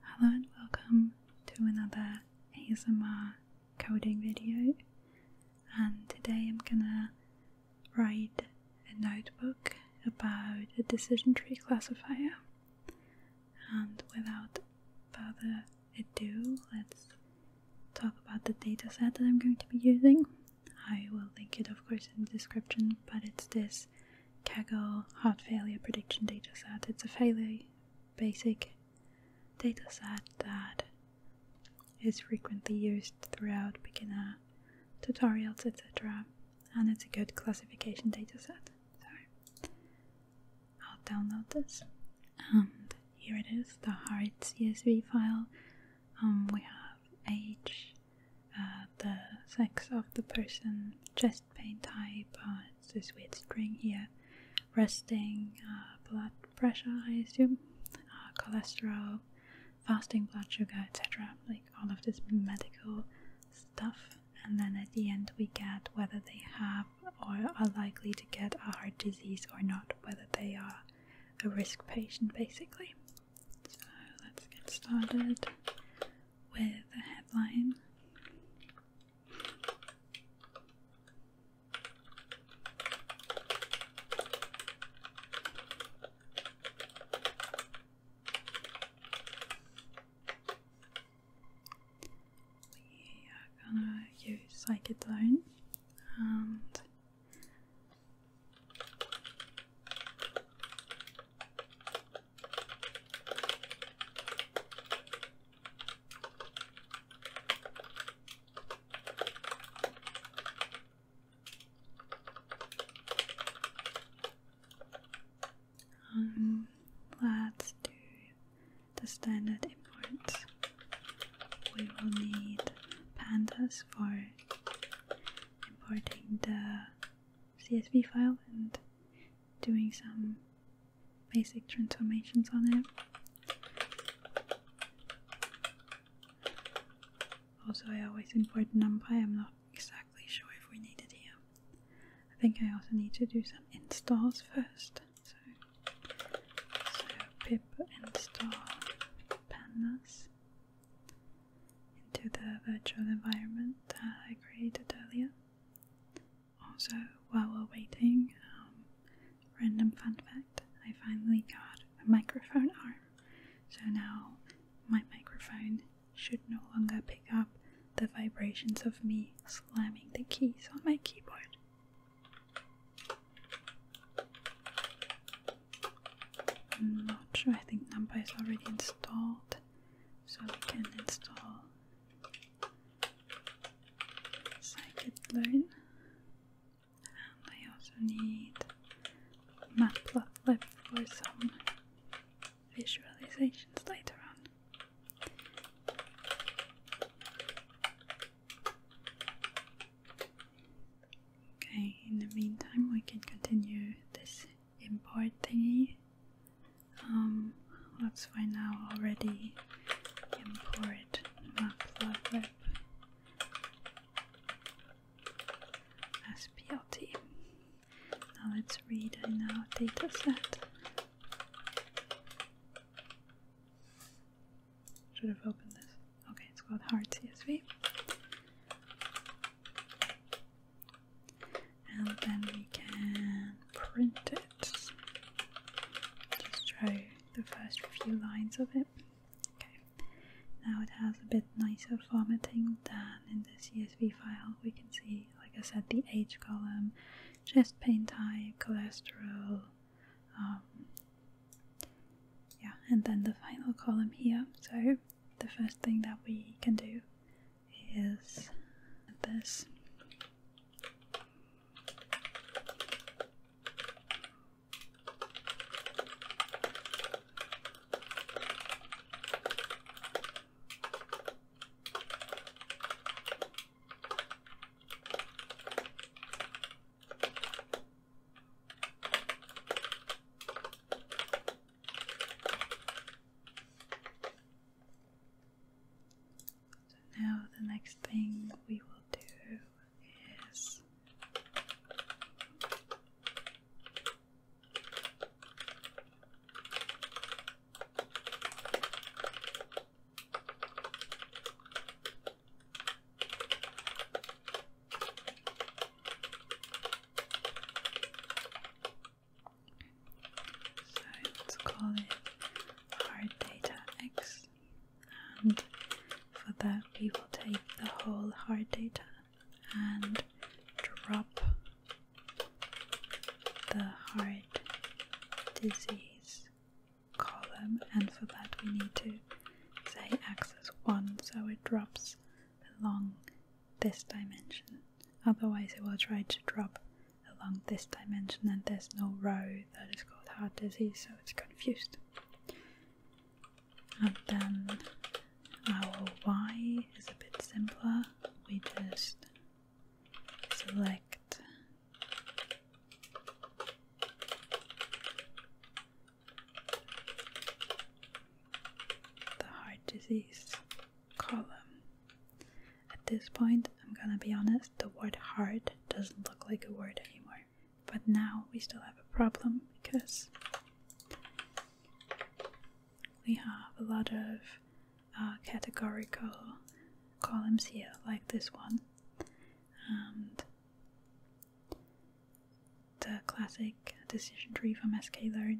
Hello and welcome to another ASMR coding video and today I'm gonna write a notebook about a decision tree classifier and without further ado let's talk about the dataset that I'm going to be using. I will link it of course in the description but it's this Kaggle heart failure prediction dataset. It's a fairly basic dataset that is frequently used throughout beginner tutorials, etc. And it's a good classification dataset. So I'll download this, and here it is, the heart CSV file. Um, we have age, uh, the sex of the person, chest pain type, uh, it's this weird string here, resting uh, blood pressure, I assume, uh, cholesterol, fasting blood sugar, etc. Like all of this medical stuff. And then at the end, we get whether they have or are likely to get a heart disease or not, whether they are a risk patient basically. So let's get started with the headline. We are gonna use Psychedone and um, let's do the standard import. We will need pandas for importing the CSV file and doing some basic transformations on it. Also, I always import NumPy, I'm not exactly sure if we need it here. I think I also need to do some installs first. So, so pip install pandas into the virtual environment that I created earlier. Also, while we're waiting, um, random fun fact I finally got a microphone arm. So now my microphone should no longer pick up the vibrations of me slamming the keys on my keyboard. I'm not sure, I think Numba is already installed, so we can install so I could learn, and I also need Matplotlib for some visualizations later on. Okay, in the meantime, we can continue this import thingy. Um, let's find out already import matplotlib splt. Now let's read in our dataset. Should have opened this. Okay, it's called hard CSV and then we can print it. Just show the first few lines of it. Okay, now it has a bit nicer formatting than in the CSV file. We can see, like I said, the age column, chest pain type, cholesterol. Um, yeah, and then the final column here. So the first thing that we can do is this. So now the next thing we will do is so let's call it hard data x, and for that we will take the whole hard data and drop the heart disease column, and for that we need to say axis 1 so it drops the long this dimension. Otherwise, it will try to drop along this dimension, and there's no row that is called heart disease, so it's confused. And then our Y is a bit simpler. We just select the heart disease column. At this point, I'm gonna be honest, the word hard doesn't look like a word anymore. But now we still have a problem because we have a lot of uh, categorical columns here, like this one. And the classic decision tree from sklearn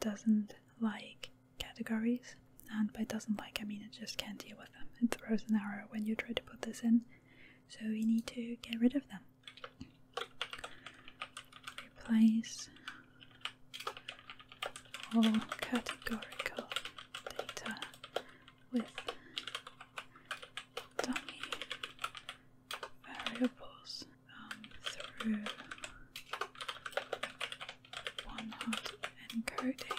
doesn't like categories, and by doesn't like I mean it just can't deal with them. It throws an error when you try to put this in, so we need to get rid of them. Replace all categorical data with dummy variables um, through one hot encoding.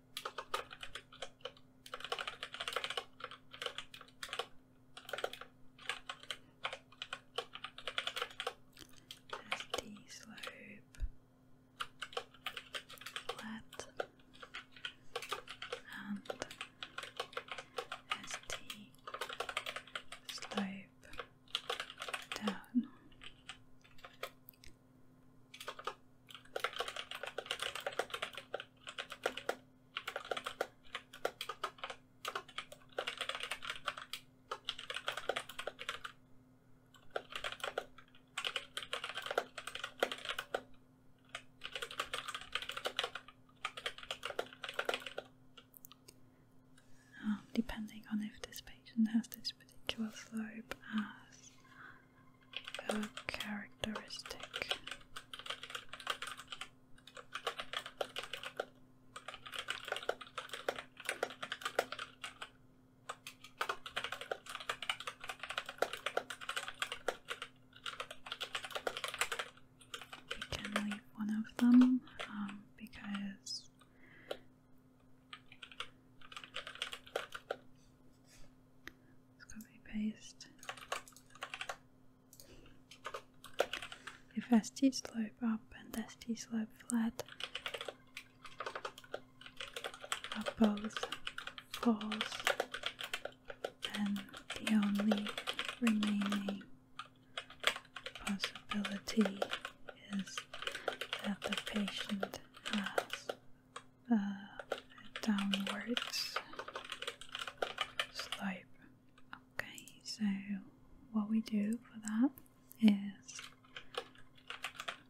Has the slope flat and has slope down. Um, depending on if this patient has this particular slope as characteristic. We can leave one of them um, because Let's copy paste. If ST slope up and ST slope flat both false, and the only remaining possibility is that the patient has uh, downwards slope. Okay, so what we do for that is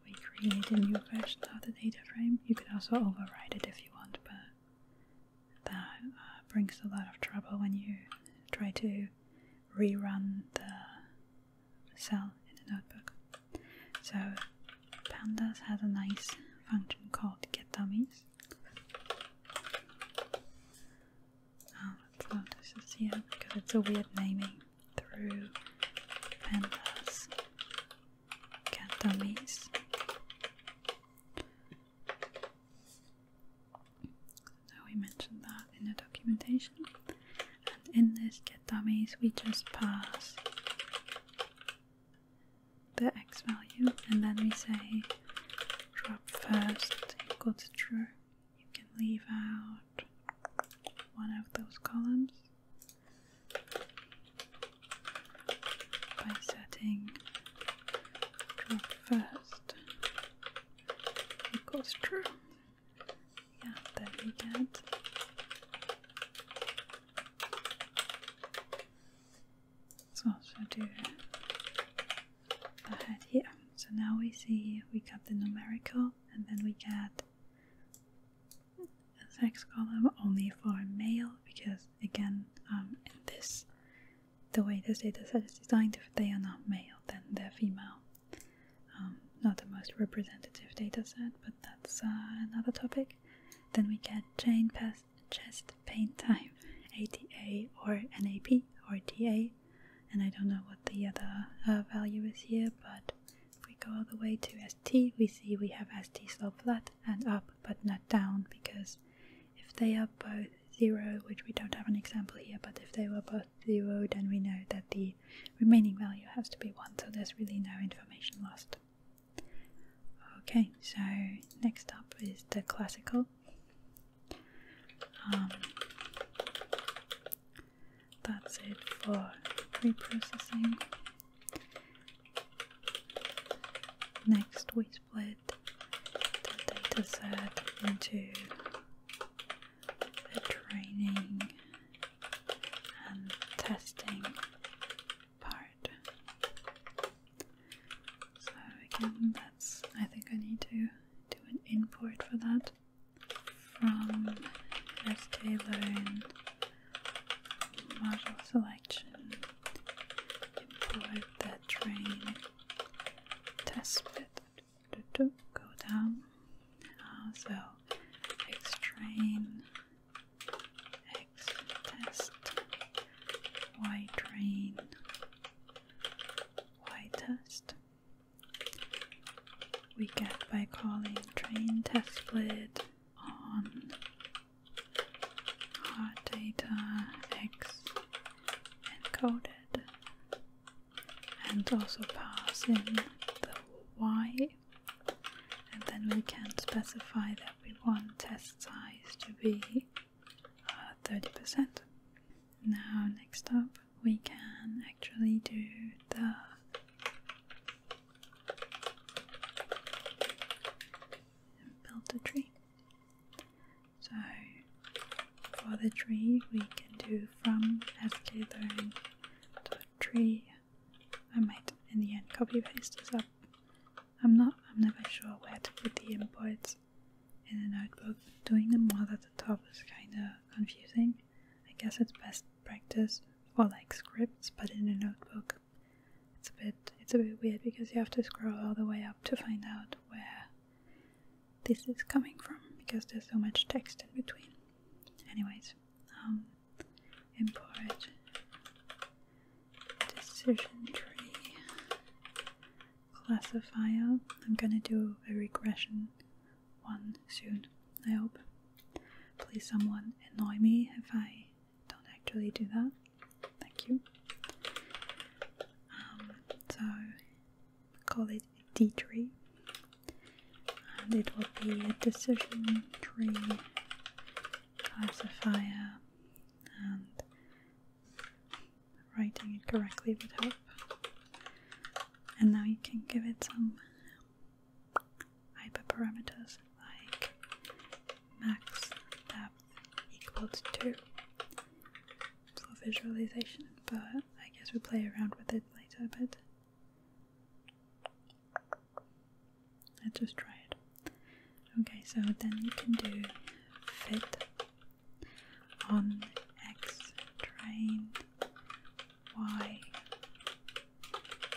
we create a new version of the data frame. You can also override it if you want, but that uh, brings a lot of trouble when you try to rerun the cell in the notebook. So pandas has a nice function called get dummies. let's oh, not this is here because it's a weird naming through pandas get dummies. we mentioned that in the documentation and in this get dummies we just pass the x value and then we say drop first equal to true. You can leave out one of those columns by setting drop first equals true yeah, that we get. So I'll do the here. So now we see we got the numerical and then we get the sex column only for male because again um, in this the way this data set is designed if they are not male then they're female um, not the most representative dataset, but that's uh, another topic. Then we get chain past chest pain type ATA or NAP or TA, and I don't know what the other uh, value is here, but if we go all the way to ST, we see we have ST slope flat and up, but not down, because if they are both zero, which we don't have an example here, but if they were both zero, then we know that the remaining value has to be 1, so there's really no information lost. Okay, so next up is the classical. Um, that's it for preprocessing. Next, we split the dataset into the training and testing part. So again, that's I think I need to do an import for that from STLearn module selection, import the train test bit, go down. Ah, so X train, X test, Y train, Y test. We get by calling train test split on our data X encoded and also pass in the Y and then we can specify that we want test size to be 30%. Uh, now next up we can actually do the build the tree. So for the tree we can do from sklearn tree. I might in the end copy paste this up. I'm not I'm never sure where to put the inputs in a notebook. Doing them all at the top is kinda confusing. I guess it's best practice for like scripts but in a notebook. It's a bit it's a bit weird because you have to scroll all the way up to find out where this is coming from because there's so much text in between. Anyways, um, import decision tree classifier. I'm gonna do a regression one soon, I hope. Please, someone annoy me if I don't actually do that. Thank you. Um, so, call D it tree and it will be a decision tree, classifier and writing it correctly would help and now you can give it some hyperparameters like max depth equals to for visualization but I guess we'll play around with it later a bit Let's just try it. Okay, so then you can do fit on X train, Y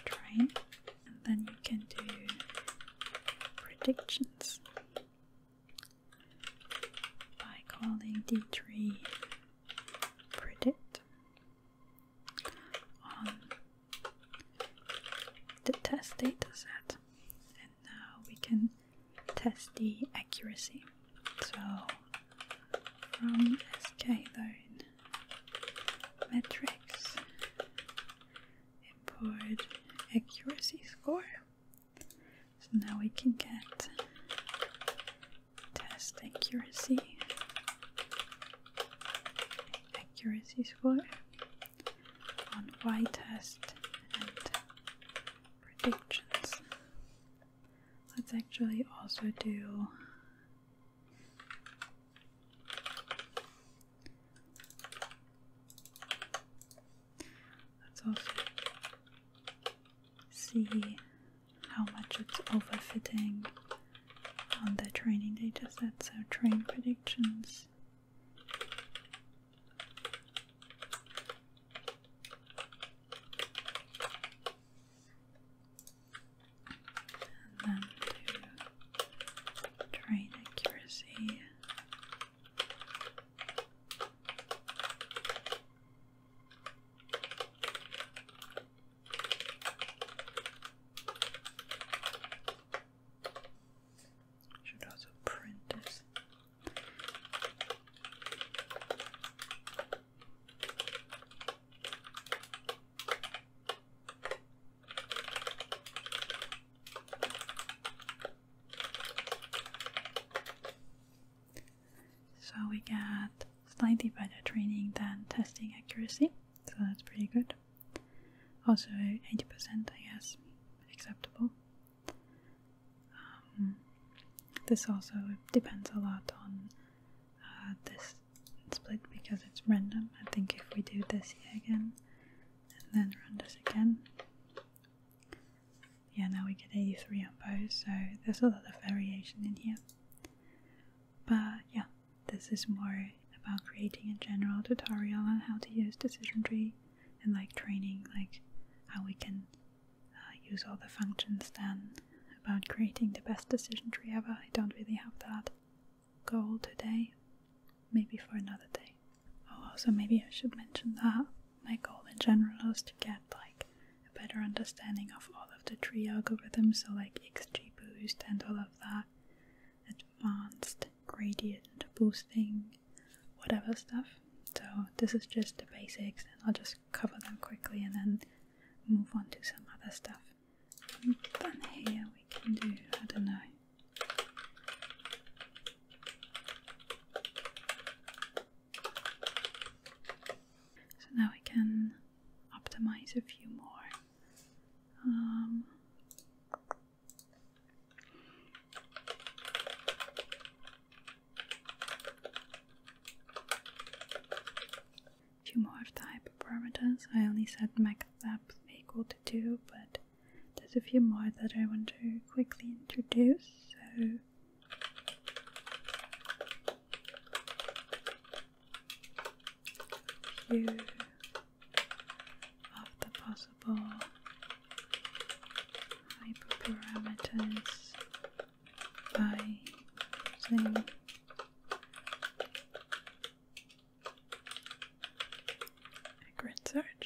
train, and then you can do predictions by calling D3 predict on um, the test data set and now we can test the accuracy so from sklearn metrics import accuracy score so now we can get test accuracy. Accuracy score on Y test and predictions. Let's actually also do let's also see how much it's overfitting on the training data set, so train predictions. then train accuracy. Should also print this. So we got slightly better training than testing accuracy, so that's pretty good. Also 80% I guess, acceptable. Um, this also depends a lot on uh, this split because it's random. I think if we do this again and then run this again, yeah, now we get 83 on both, so there's a lot of variation in here. But yeah, this is more about creating a general tutorial on how to use decision tree and like training, like how we can uh, use all the functions then about creating the best decision tree ever. I don't really have that goal today, maybe for another day. Oh, also, maybe I should mention that my goal in general is to get like a better understanding of all of the tree algorithms, so like XGBoost and all of that, advanced gradient boosting, whatever stuff. So this is just the basics, and I'll just cover them quickly and then move on to some other stuff. then here we can do, I don't know. So now we can optimize a few more. Um, few more of the hyperparameters. I only set max depth equal to 2, but there's a few more that I want to quickly introduce. So again. of the possible hyperparameters by using a grid search.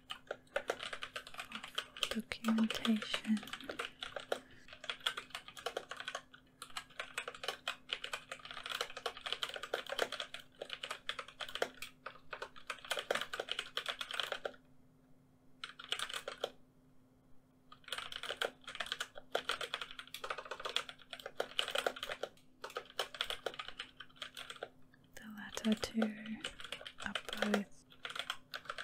documentation. The letter to upload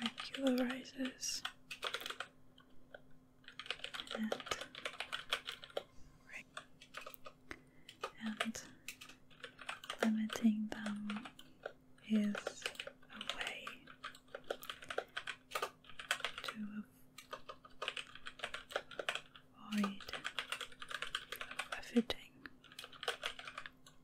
regularizes and, and limiting them is a way to avoid overfitting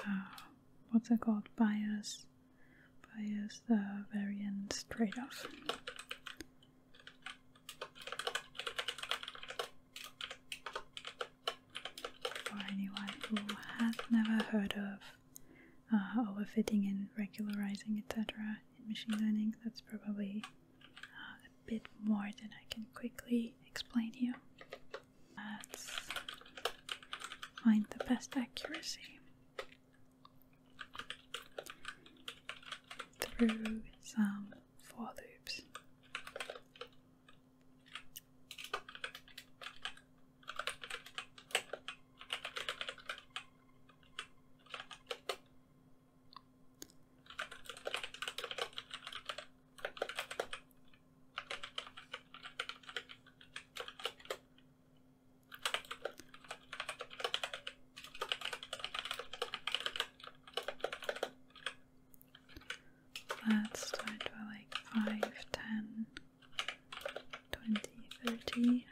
Uh, what's it called? Bias, bias variance trade-off. For anyone who has never heard of uh, overfitting and regularizing, etc., in machine learning, that's probably uh, a bit more than I can quickly explain here. Let's find the best accuracy through some for loops. Let's start by like 5, And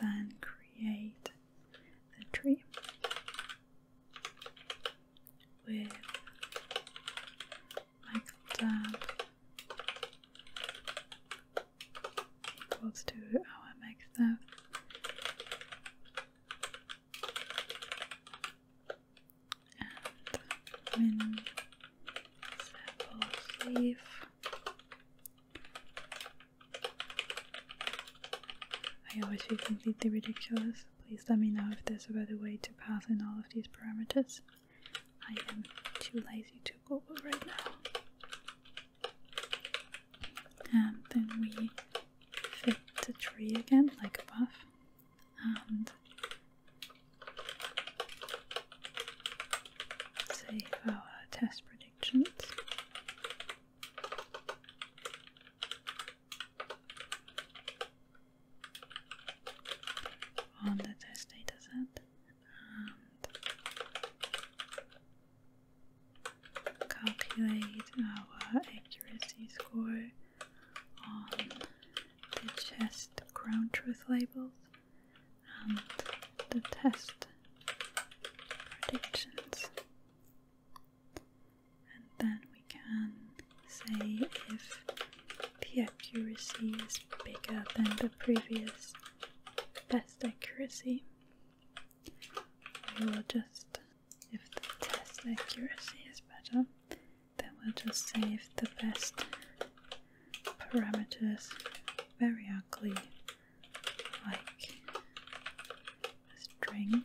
then create the tree with like that equals to our MakeStuff and min sample leaf I always feel completely ridiculous Please let me know if there's a better way to pass in all of these parameters. I am too lazy to Google right now. And then we fit the tree again, like above. And save our test predictions on the test dataset and calculate our accuracy score on the chest ground truth labels and the test predictions and then we can say if the accuracy is bigger than the previous best accuracy we will just if the test accuracy is better then we'll just say the best parameters very ugly like a string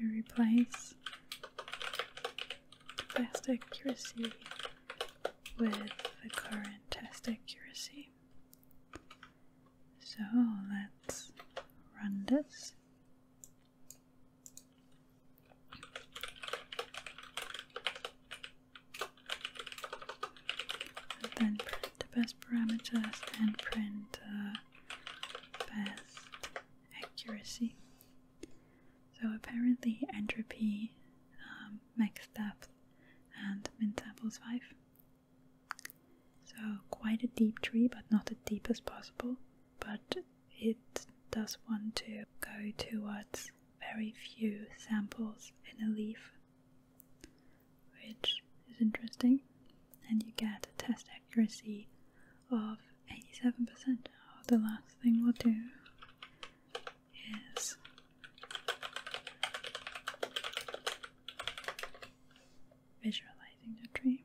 And we replace the best accuracy with the current test accuracy. So let's run this. And then print the best parameters and print uh, best accuracy. So apparently, entropy um, makes depth and mintables 5. So quite a deep tree, but not as deep as possible. But it does want to go towards very few samples in a leaf, which is interesting and you get a test accuracy of 87%. Now the last thing we'll do is visualizing the tree.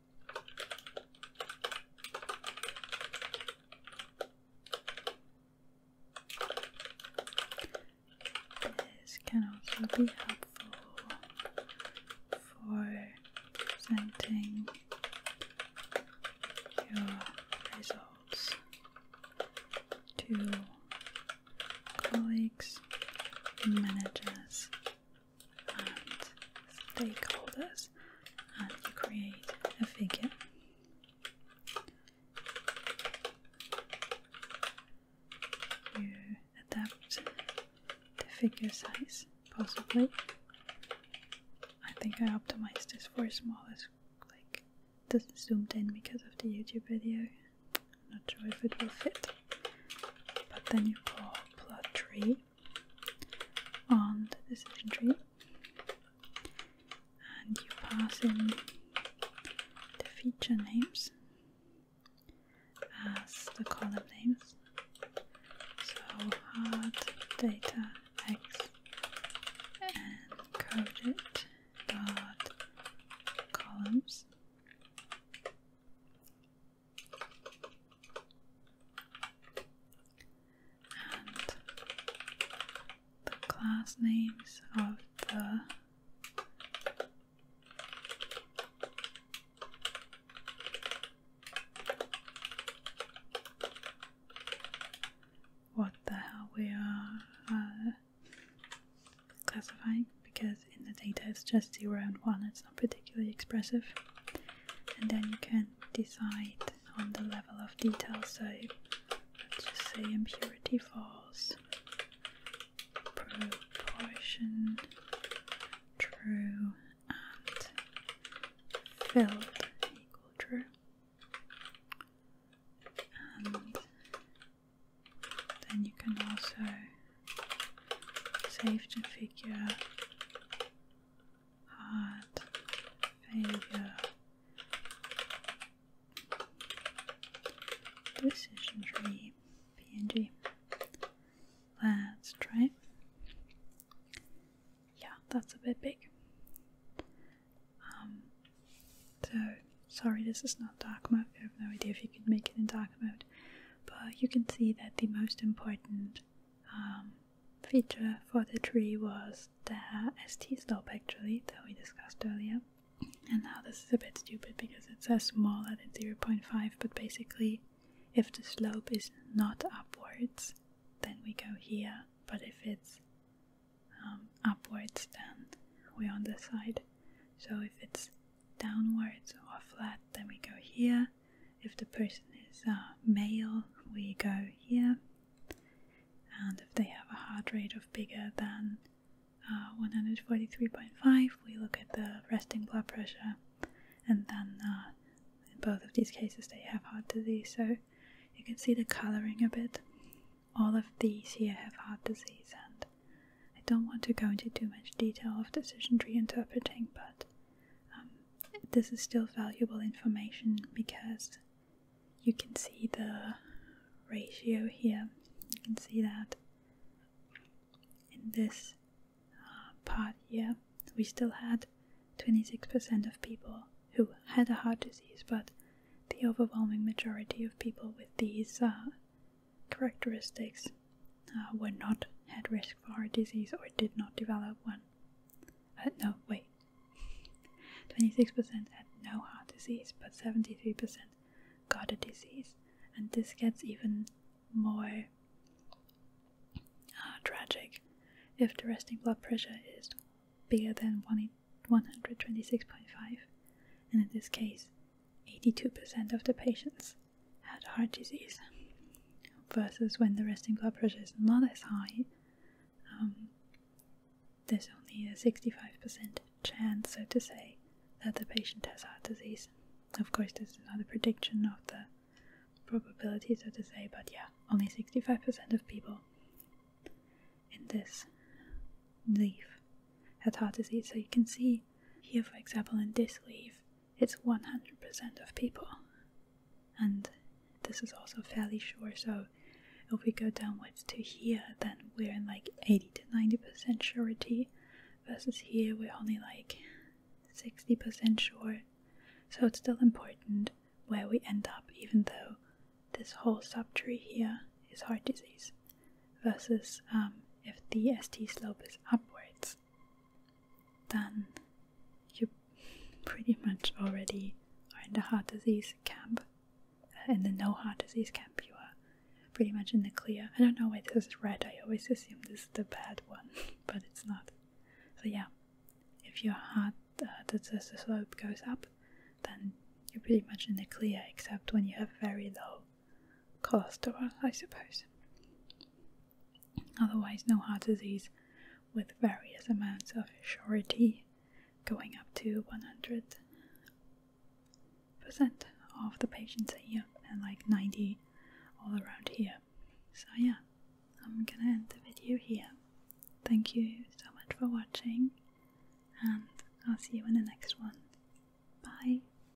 This can also be helpful for presenting your results to colleagues and managers and stakeholders, and you create a figure. You adapt the figure size, possibly. I think I optimized this for smallest, like, doesn't zoomed in because of the YouTube video. I'm not sure if it will fit. But then you call plot tree on the decision tree and you pass in the feature names as the column names. So hard data x encoded dot columns and the class names of the what the hell we are uh, classifying because in the data it's just 0 and 1, it's not particularly expressive. And then you can decide on the level of detail, so let's just say impurity false, proportion true, and filled equal true. And then you can also Save safety figure, heart, failure, decision tree, PNG. Let's try. Yeah, that's a bit big. Um, so sorry, this is not dark mode. I have no idea if you can make it in dark mode. But you can see that the most important um, feature for the tree was the st slope actually that we discussed earlier. And now this is a bit stupid because it says small at 0.5, but basically, if the slope is not upwards, then we go here. But if it's um, upwards, then we on this side. So if it's downwards or flat, then we go here. If the person is uh, male, we go here. And if they have a heart rate of bigger than uh, 143.5, we look at the resting blood pressure. And then uh, in both of these cases, they have heart disease. So you can see the coloring a bit. All of these here have heart disease and I don't want to go into too much detail of decision tree interpreting, but um, this is still valuable information because you can see the ratio here. You can see that in this uh, part here, we still had 26% of people who had a heart disease, but the overwhelming majority of people with these uh, characteristics uh, were not at risk for heart disease or did not develop one. Uh, no, wait. 26% had no heart disease, but 73% got a disease. And this gets even more uh, tragic if the resting blood pressure is bigger than 126.5. And in this case, 82% of the patients had heart disease, versus when the resting blood pressure is not as high, um, there's only a 65% chance, so to say, that the patient has heart disease. Of course, this is not a prediction of the probability, so to say, but yeah, only 65% of people in this leaf had heart disease. So you can see here, for example, in this leaf, it's 100% of people. And this is also fairly sure, so if we go downwards to here, then we're in like 80 to 90% surety, versus here we're only like 60% sure. So it's still important where we end up, even though this whole subtree here is heart disease, versus um, if the ST slope is upwards then you pretty much already are in the heart disease camp. Uh, in the no heart disease camp, you are pretty much in the clear. I don't know why this is red, I always assumed this is the bad one, but it's not. So, yeah, if your heart uh, disease slope goes up, then you're pretty much in the clear, except when you have very low cholesterol, I suppose. Otherwise, no heart disease with various amounts of surety going up to 100% of the patients a year, and like 90 all around here. So yeah, I'm gonna end the video here. Thank you so much for watching and I'll see you in the next one. Bye!